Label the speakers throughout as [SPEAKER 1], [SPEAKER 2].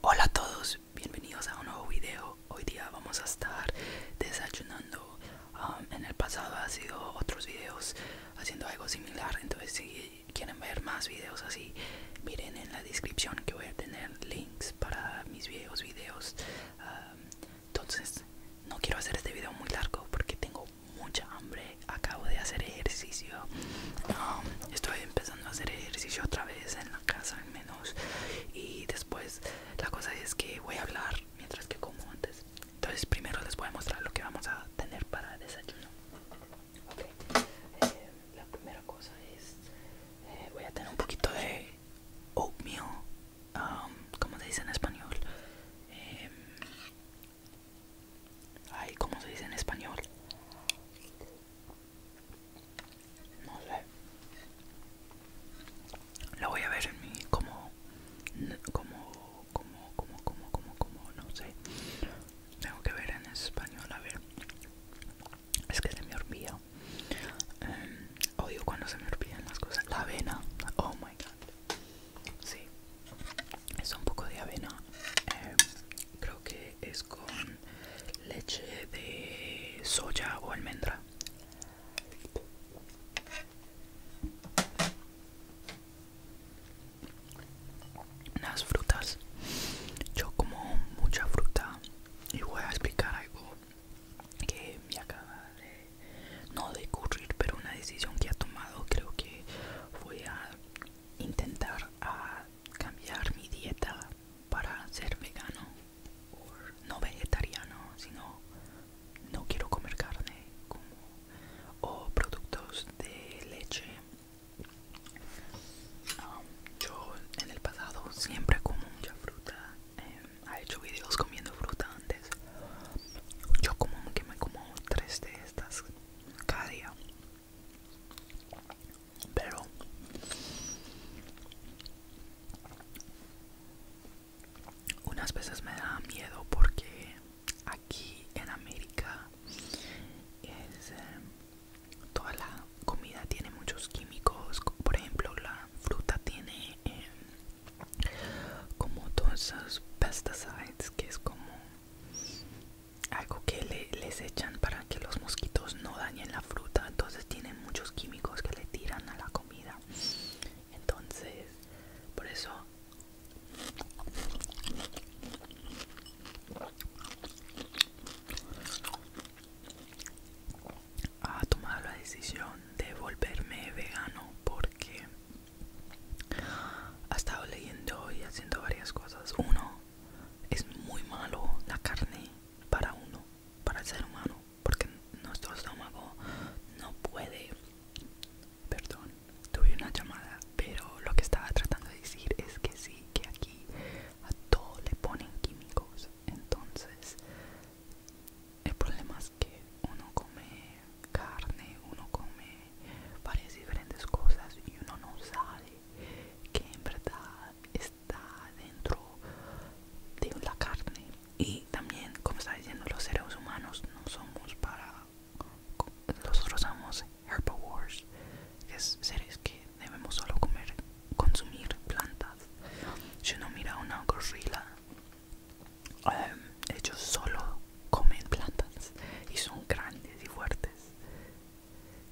[SPEAKER 1] Hola a todos, bienvenidos a un nuevo video. Hoy día vamos a estar desayunando. Um, en el pasado ha sido otros videos haciendo algo similar, entonces si quieren ver más videos así, miren en la descripción que voy a tener links para mis viejos videos. Um, entonces no quiero hacer este video muy largo porque tengo mucha hambre. Acabo de hacer ejercicio. Um, estoy empezando a hacer ejercicio otra vez en la casa, menos y después la cosa es que voy a hablar mientras que como antes entonces primero les voy a mostrar lo que vamos a tener para desayuno eh, la primera cosa es eh, voy a tener un poquito de oatmeal um, como se dice en español eh, ay como se dice en español no sé. Lo voy a ver en mi como como como como como como no sé. Tengo que ver en español a ver. Es que se me olvida. Em, odio cuando se me olvidan las cosas. La avena. Oh my god. Sí. Es un poco de avena. Em, creo que es con leche de soya o almendra. Las frutas. Yo como mucha fruta y voy a explicar algo que me acaba de no de ocurrir, pero una decisión que ha tomado. Creo que voy a intentar a cambiar mi dieta para ser vegano o no vegetariano, sino no quiero comer carne o productos de leche. Um, yo en el pasado siempre como mucha fruta. Em, he hecho videos comiendo fruta antes. Yo como que me como tres de estas cada día pero unas veces me da miedo porque aquí en América es, eh, toda la comida tiene muchos químicos por ejemplo la fruta tiene em, como todas esas pesticides que es como algo que le, les echan para que los mosquitos no dañen la fruta entonces tienen muchos químicos que le tiran a la comida entonces por eso ha tomado la decisión de volverme vegano porque ha estado leyendo y haciendo varias cosas uno es muy malo la carne para uno, para el ser humano, porque nuestro estómago no puede. Perdón, tuve una llamada, pero lo que estaba tratando de decir es que sí, que aquí a todo le ponen químicos, entonces el problema es que uno come carne, uno come varias diferentes cosas y uno no sabe que en verdad es está dentro de la carne y también como está diciendo los seres humanos no somos para nosotros somos herbivores que es seres que debemos solo comer consumir plantas si uno mira una gorila em, ellos solo comen plantas y son grandes y fuertes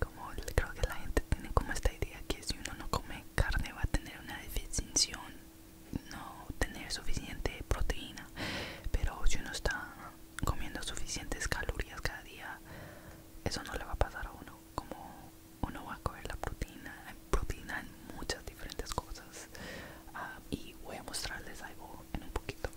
[SPEAKER 1] como creo que la gente tiene como esta idea que si uno no come carne va a tener una deficiencia no tener suficiente proteína pero si uno está comiendo suficientes calorías cada día eso no le va a pasar a uno como uno va a comer la proteína proteína en muchas diferentes cosas ah, y voy a mostrarles algo en un poquito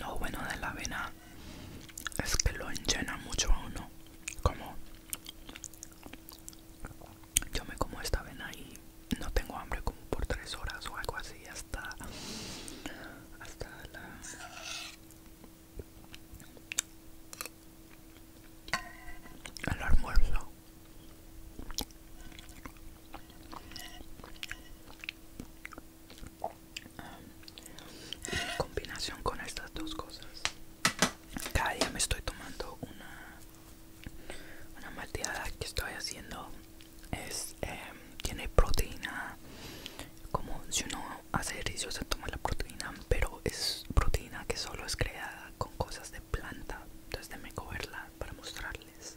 [SPEAKER 1] no bueno de la avena es que lo enllena mucho a uno. Como yo me como esta vena y no tengo hambre como por tres horas o algo así hasta hasta el almuerzo en combinación con estas dos cosas cada día me estoy tomando una una que estoy haciendo es em, tiene proteína como si uno hace ejercicio se toma la proteína pero es proteína que solo es creada con cosas de planta entonces déjenme cogerla para mostrarles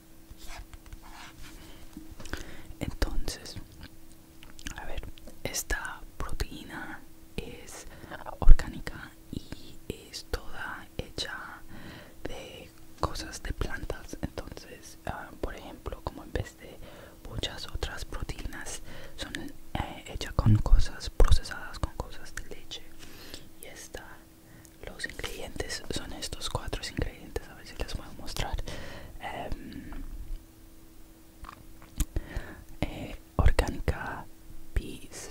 [SPEAKER 1] Entonces, a ver, esta proteína es orgánica y es toda hecha de cosas de plantas. Entonces, ah, por ejemplo, como en vez de muchas otras proteínas, son eh, hechas con cosas procesadas, con cosas de leche. Y esta los ingredientes son estos cuatro ingredientes, a ver si les puedo mostrar. Em, eh, orgánica peas.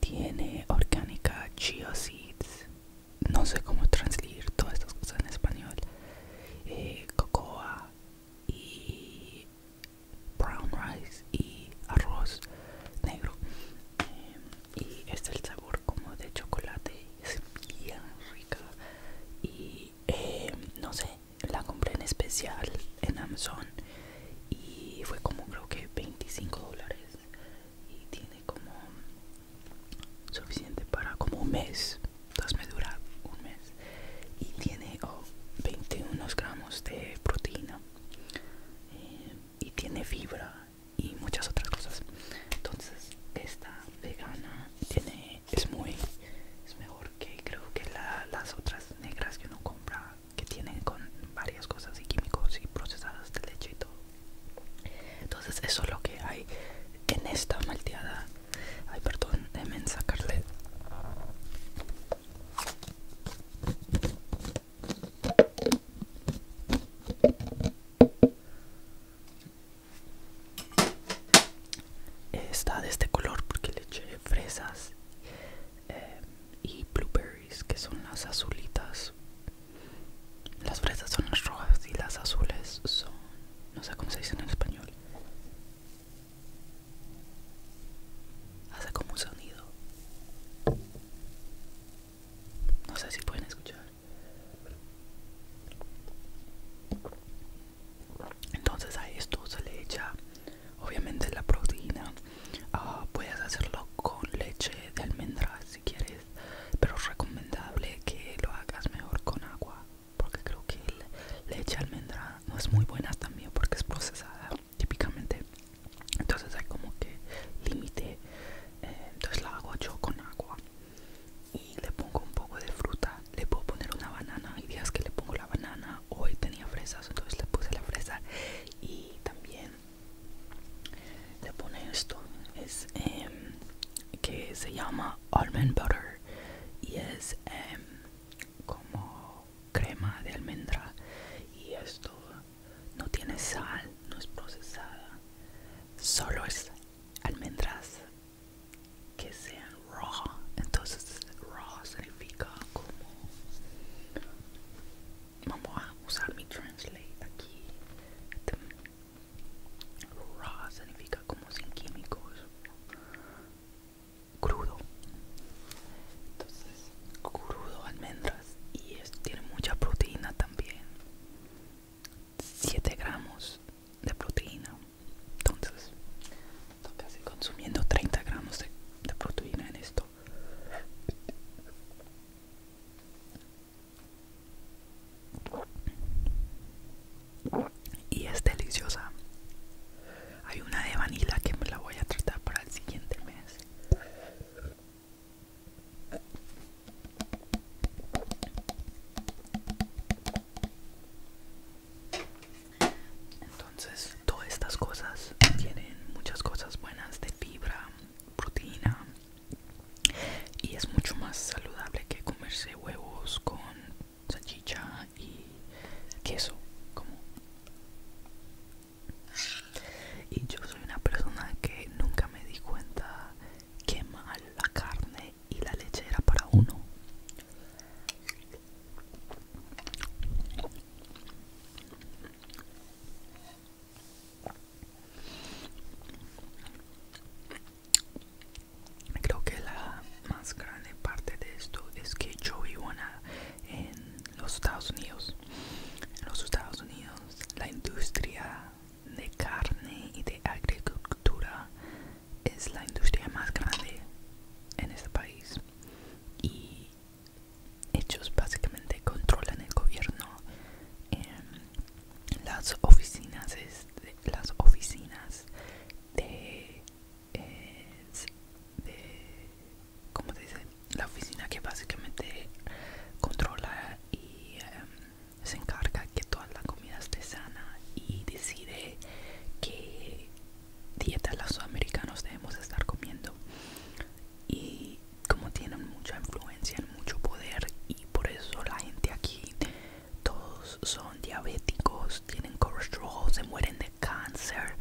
[SPEAKER 1] Tiene orgánica chia seeds. No sé cómo transcribir todas estas cosas en español. Eh, cocoa y brown rice y arroz negro. Em, y es el sabor como de chocolate es bien rica y eh, no sé la compré en especial en Amazon y fue como creo que 25 dólares y tiene como suficiente para como un mes dos me dura un mes y tiene 21 gramos de proteína eh, y tiene fibra y muchas otras cosas entonces esta vegana tiene es muy es mejor que creo que las otras negras que uno compra que tienen con varias cosas y químicos y procesadas de leche y todo entonces eso es lo que hay en esta malteada ay perdón de mensa sacarle Está de este color porque le eché fresas eh, y blueberries, que son las azulitas. Las fresas son las rojas y las azules son, no sé cómo se dice en español. Hace como un sonido. No sé si pueden escuchar. Entonces a esto se le echa obviamente la proteína. Ah, puedes hacerlo con leche de almendra si quieres, pero es recomendable que lo hagas mejor con agua, porque creo que leche de almendra no es muy buena también porque es procesada típicamente entonces hay como que límite eh, entonces la hago yo con agua y le pongo un poco de fruta le puedo poner una banana y días que le pongo la banana hoy tenía fresas entonces le puse la fresa y también le pone esto es em, que se llama almond butter y es em, como crema de almendra y esto no tiene sal, no es procesada, solo es almendras que sean raw. Entonces, raw significa como. Vamos a usar mi translate aquí. Raw significa como sin químicos, crudo. Entonces, crudo almendras y esto tiene mucha proteína también 7 gramos de proteína entonces estoy casi consumiendo 30 gramos de, de proteína en esto y es deliciosa hay una de vanilla que me la voy a tratar para el siguiente mes entonces, todas estas cosas tienen muchas cosas buenas de fibra, proteína y es mucho más saludable que comerse huevos con salchicha y queso como y yo soy una persona que nunca me di cuenta que mal la carne y la leche era para uno. Creo que la más grande parte de esto es que yo vivo en los Estados Unidos. En los Estados Unidos la industria de carne y de agricultura es la industria más grande en este país y ellos básicamente controlan el gobierno este, las oficinas de, las oficinas de, de cómo se dice la oficina que básicamente controla y em, se encarga que toda la comida esté sana y decide qué dieta los sudamericanos debemos estar comiendo y como tienen mucha influencia mucho poder y por eso la gente aquí todos son diabéticos tienen colesterol se mueren de cáncer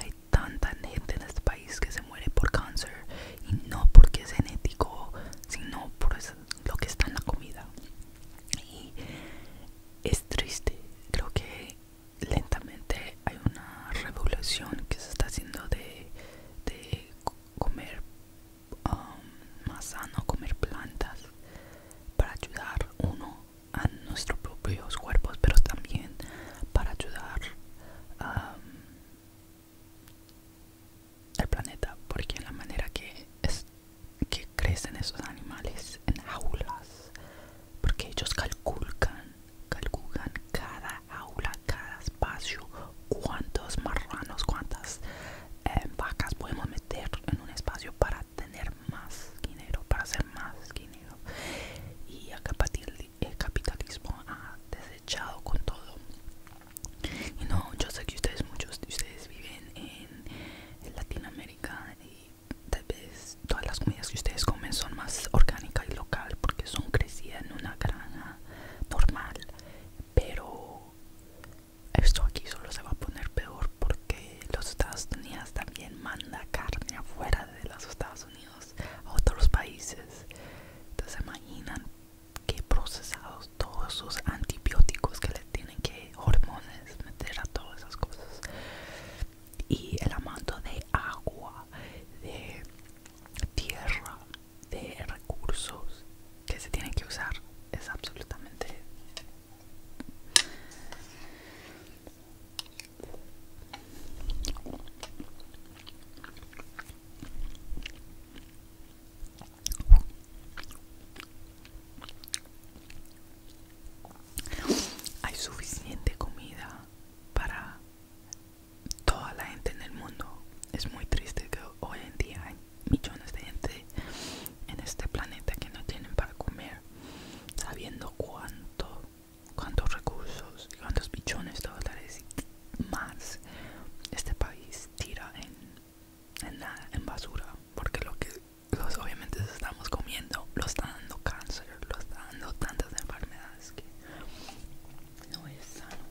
[SPEAKER 1] hay tanta gente en este país que se muere por cáncer y no porque es genético, sino por lo que está en la comida. Y es triste, creo que lentamente hay una revolución que se está haciendo de, comer um, más sano, comer plantas para ayudar uno a nuestros propios cuerpos, pero también para ayudar um, el planeta porque la manera que es que crecen esos animales en aulas porque ellos calculan calculan cada aula, cada espacio cuántos marranos cuántas eh, vacas podemos meter en un espacio para tener más dinero para hacer más dinero y a partir de el capitalismo ha desechado con todo. Y no, yo sé que ustedes, muchos de ustedes viven en Latinoamérica y tal vez todas las comidas que ustedes comen son más orgánica y local porque son crecidas en una granja normal. Pero esto aquí solo se va a poner peor porque los Estados Unidos también manda carne afuera de los Estados Unidos a otros países. Entonces imaginan que procesados todos esos antibióticos que le tienen que hormonas meter a todas esas cosas y el amanto de agua de tierra de recursos que se tienen que usar es absolutamente hay suficiente comida para toda la gente en el mundo. Es muy triste que hoy en día hay millones de gente en este planeta que no tienen para comer, sabiendo cuánto, cuántos recursos y cuántos millones de dólares más este país tira en, nada, en basura, porque lo que los obviamente estamos comiendo lo está dando cáncer, lo está dando tantas enfermedades que no es sano.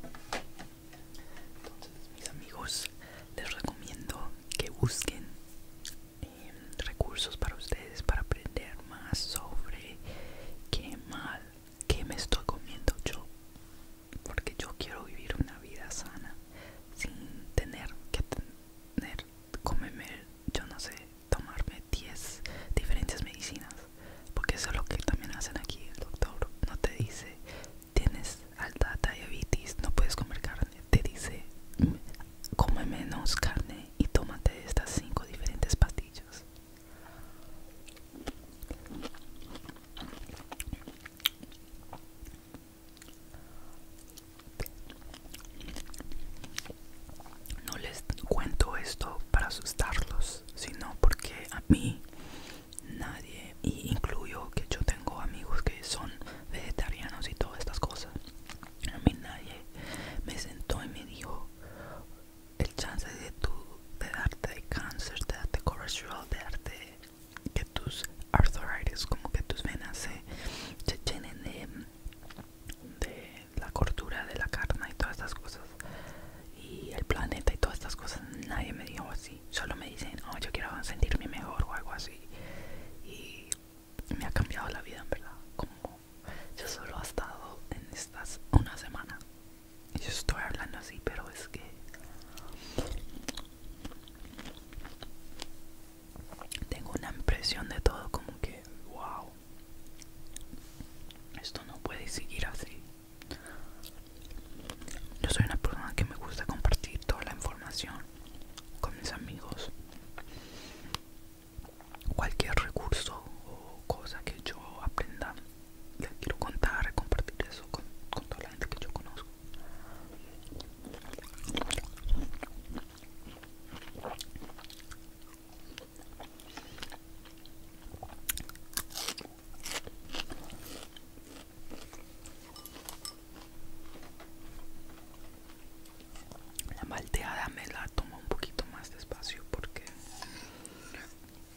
[SPEAKER 1] Entonces, mis amigos, les recomiendo que busquen em, recursos para ustedes para aprender más sobre qué mal, qué me estoy comiendo yo porque yo quiero vivir una vida sana sin tener que tener, comerme, yo no sé, tomarme 10 diferentes medicinas, porque eso es lo que también hacen aquí, el doctor no te dice tienes alta diabetes, no puedes comer carne, te dice come menos carne y tómate estas 5 diferentes pastillas. No les cuento esto para asustarlos, sino porque a mí nadie, y incluyo que yo tengo amigos que son vegetarianos y todas estas cosas, a mí nadie me sentó y me dijo, el chance de, tu, de darte cáncer, de darte colesterol, de darte que tus arthritis, como que tus venas se, llenen de, de la cordura de la carne y todas estas cosas y el planeta y todas estas cosas nadie me dijo así solo me dicen oh yo quiero sentirme mejor o algo así y me ha cambiado la vida en verdad como yo solo ha estado en estas una semana yo estoy hablando así, pero es que tengo una impresión de todo como que, wow, esto no puede seguir así. Yo soy una persona que me gusta compartir toda la información con mis amigos. Cualquier recurso o cosa que yo aprenda quiero contar, compartir eso con, toda la gente que yo conozco. La malteada me la tomo un poquito más despacio porque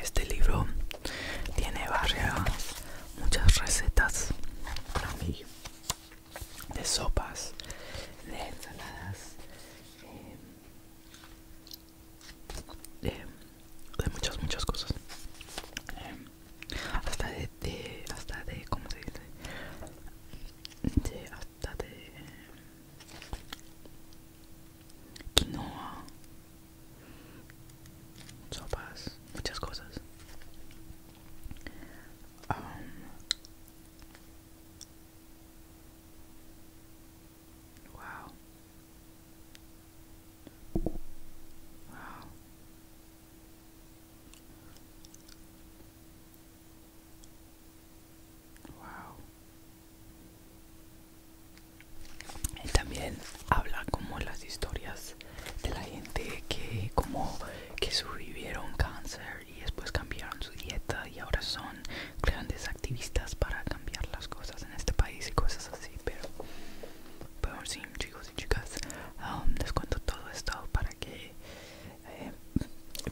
[SPEAKER 1] Este libro tiene varias muchas recetas para mí de sopas, de ensaladas, eh, de, muchas, muchas cosas. Eh, hasta de, hasta de, ¿cómo se dice? De, hasta de quinoa, sopas, muchas cosas también habla como las historias de la gente que como que sobrevivieron cáncer y después cambiaron su dieta y ahora son grandes activistas para cambiar las cosas en este país y cosas así pero bueno chicos y chicas um, les cuento todo esto para que eh,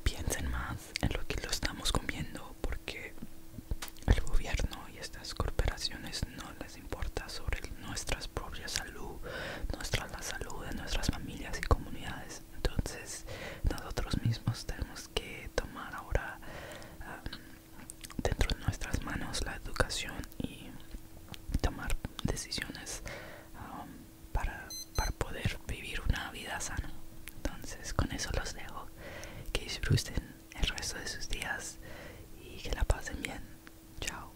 [SPEAKER 1] piensen más en lo que lo estamos comiendo porque el gobierno y estas corporaciones no les importa sobre nuestras propias salud, nuestra, la salud de nuestras familias y comunidades. Entonces nosotros mismos tenemos que tomar ahora ah, dentro de nuestras manos la educación y tomar decisiones um, para, para poder vivir una vida sana. Entonces con eso los dejo. Que disfruten el resto de sus días y que la pasen bien. Chao.